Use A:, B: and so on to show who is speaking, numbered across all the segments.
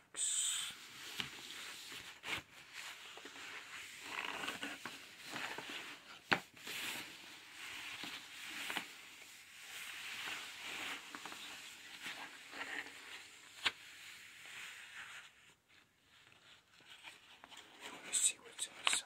A: box. Let me see what's inside.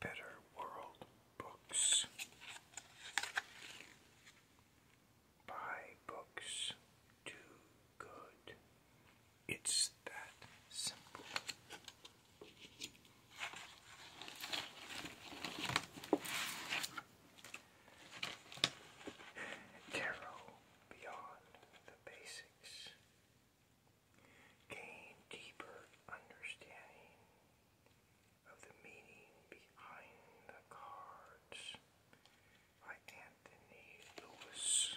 A: Better World Books. Buy books do good. It's that simple. Tarot Beyond the Basics. Gain deeper understanding of the meaning behind the cards by Anthony Lewis.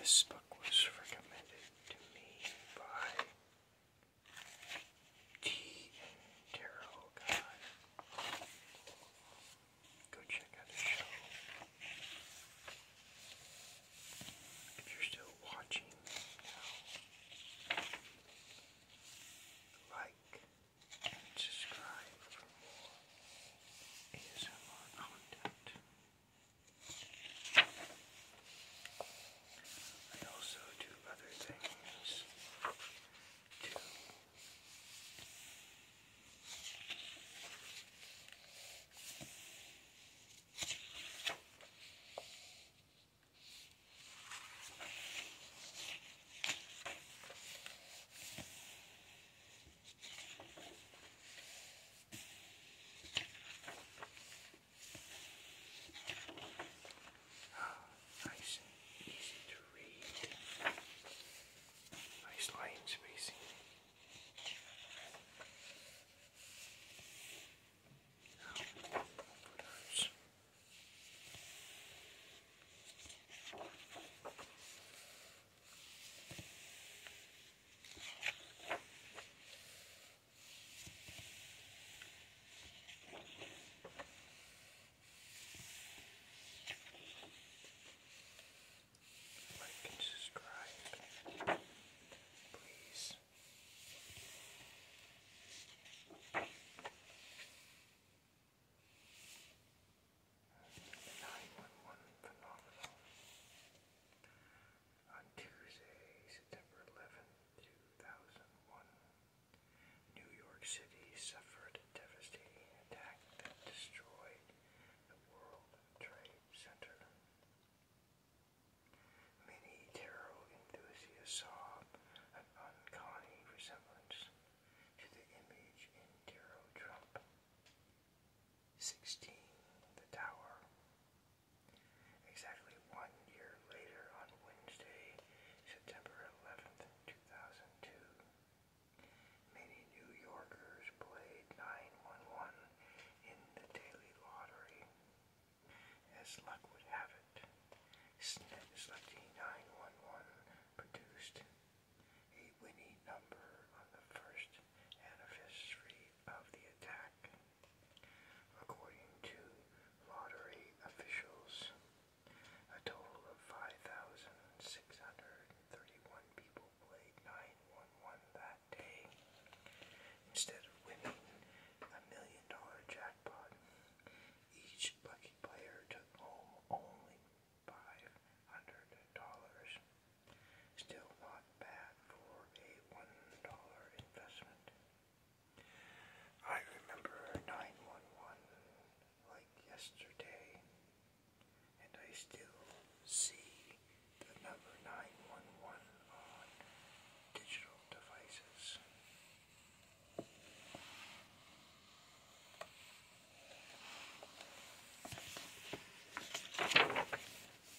A: This book was recommended to me by T and Daryl Guy. Go check out his show. If you're still watching now, like and subscribe for more ASMR content. I also do other things Oh, nice easy to read. Nice line spacing. Like and subscribe, please. Nine one one phenomenon. On Tuesday, September 11, 2001, New York City suffered a devastating attack that destroyed the World Trade Center. Many tarot enthusiasts saw an uncanny resemblance to the image in Tarot Trump. 16. The Tower. Exactly one year later, on Wednesday, September 11th, 2002, many New Yorkers played 911 in the daily lottery. As luck would have it, Selecting 911 produced a winning number on the first anniversary of the attack. According to lottery officials, a total of 5,631 people played 911 that day. Instead of winning a million dollar jackpot, each lucky player took home only $500. Still not bad for a $1 investment. I remember 911 like yesterday, and I still see the number 911 on digital devices.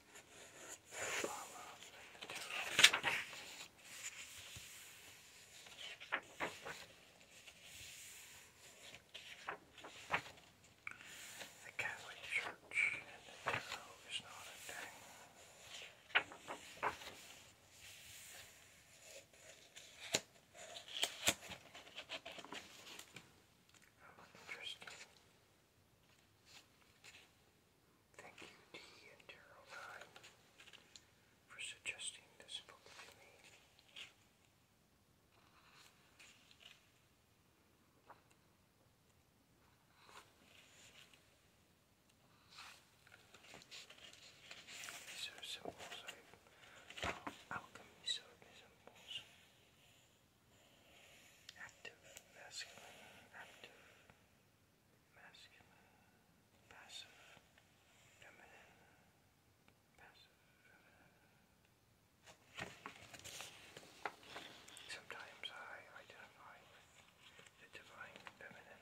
A: The Catholic Church and the tarot is not a thing. interesting. Thank you, D and Daryl for suggesting this book to me. These are symbols of alchemy symbols active, masculine, active, masculine, passive, feminine, passive, feminine. Sometimes I identify with the divine feminine.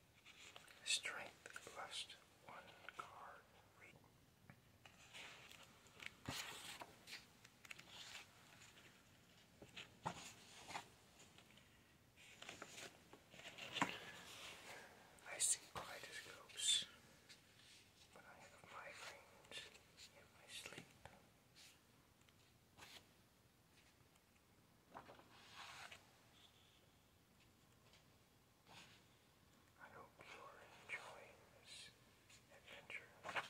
A: Strength plus one card. I see kaleidoscopes when I have migraines in my sleep. I hope you're enjoying this adventure.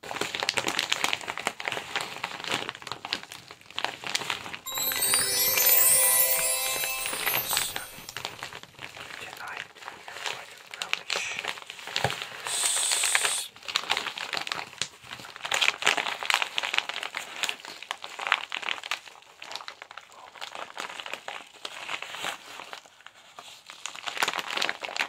A: Tonight we are going to relish this. Oh.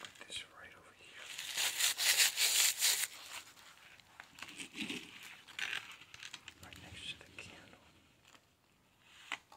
A: Put this right over here. Right next to the candle. Right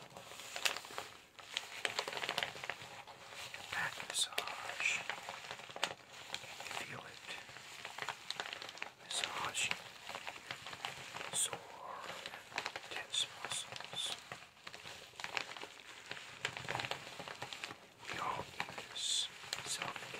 A: Back massage. Feel it. Massage. Sore and tense muscles. We all need this self-care.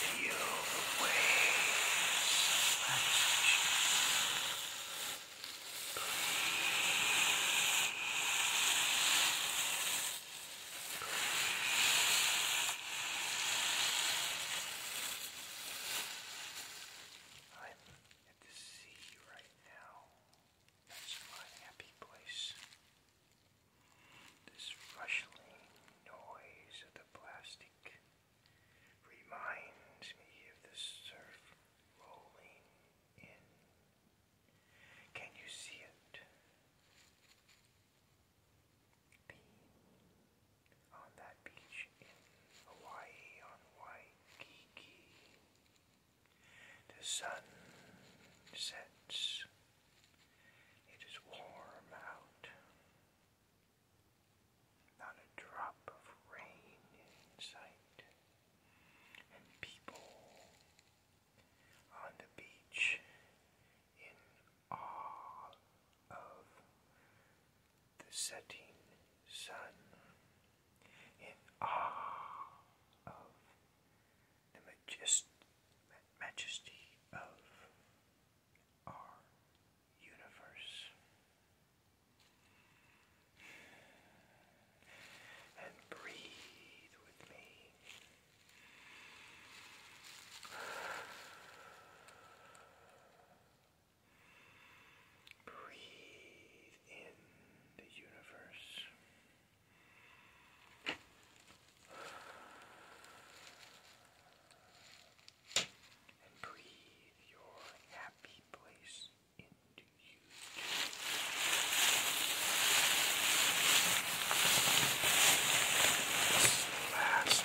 A: Feel the waves rush. Breathe. Breathe. I'm at the sea right now. That's my happy place. This rushing noise of the plastic reminds me of the surf rolling in. Can you see it? be on that beach in Hawaii on Waikiki. The sun sets. It is warm out. Not a drop of rain in sight. And people on the beach in awe of the setting sun, in awe of the majesty of our universe. And breathe with me. Breathe in the universe. And breathe your happy place into you. last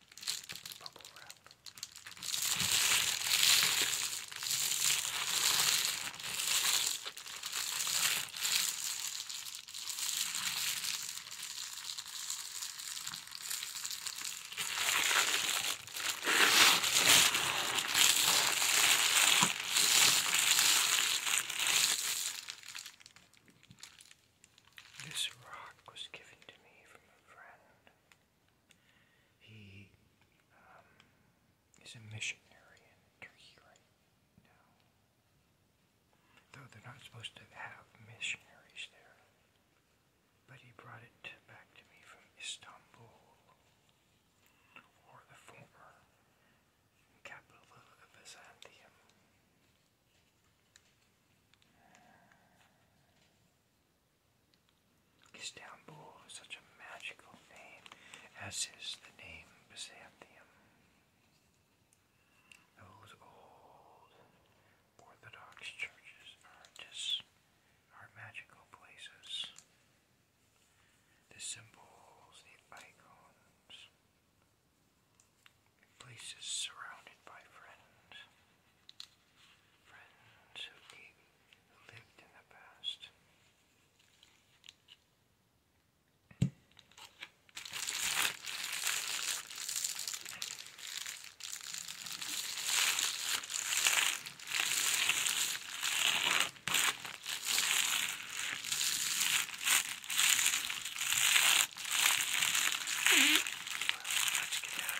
A: bubble wrap. This rock was given to me from a friend. He um, is a missionary Though they're not supposed to have missionaries there. But he brought it back to me from Istanbul, or the former capital of Byzantium. Istanbul is such a magical name, as is the name Byzantium. Those old Orthodox churches are just are magical places. The symbols, the icons, places surrounded by friends friends who, gave, lived in the past. let's get out.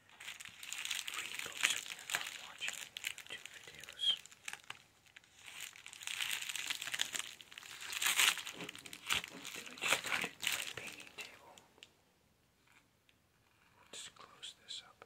A: read books when you're watching YouTube videos. Did I just cut it my painting table? Let's close this up.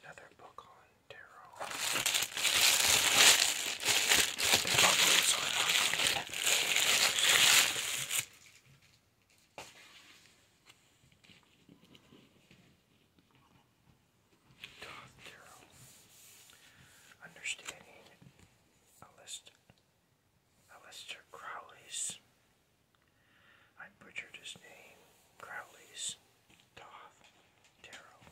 A: Another book on tarot. The bubbles are not yet. Talk Understanding Alistair, Alistair Crowley's. I butchered his name. Crowley's Toth Tarot.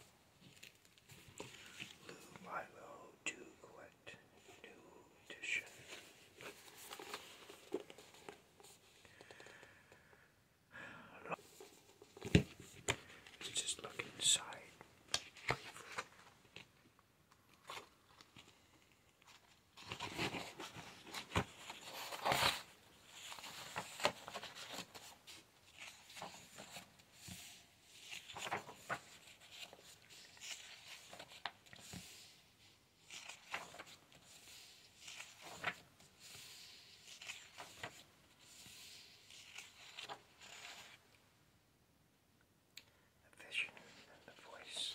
A: Lou Milo Duquette, New Edition. Let's just look inside briefly. The vision and the voice.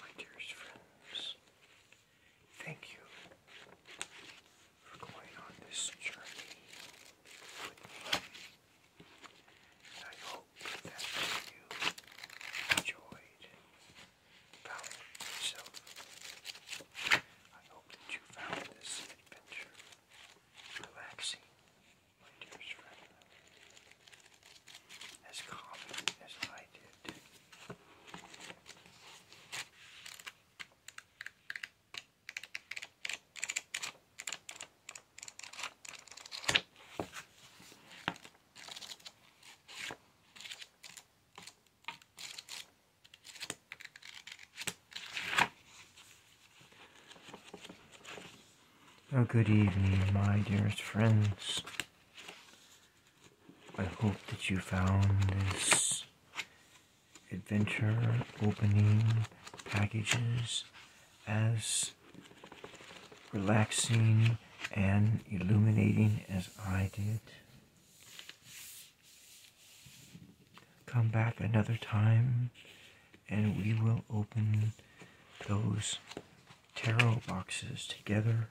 A: My dearest friends, thank you for going on this journey with me. I hope that you enjoyed about yourself. I hope that you found this adventure relaxing my dearest friend, as common as I did. Oh, good evening, my dearest friends. I hope that you found this adventure opening packages as relaxing and illuminating as I did. Come back another time and we will open those tarot boxes together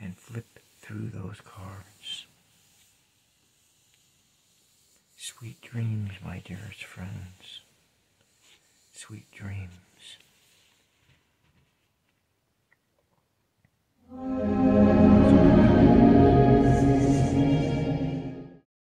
A: and flip through those cards. Sweet dreams, my dearest friends. Sweet dreams.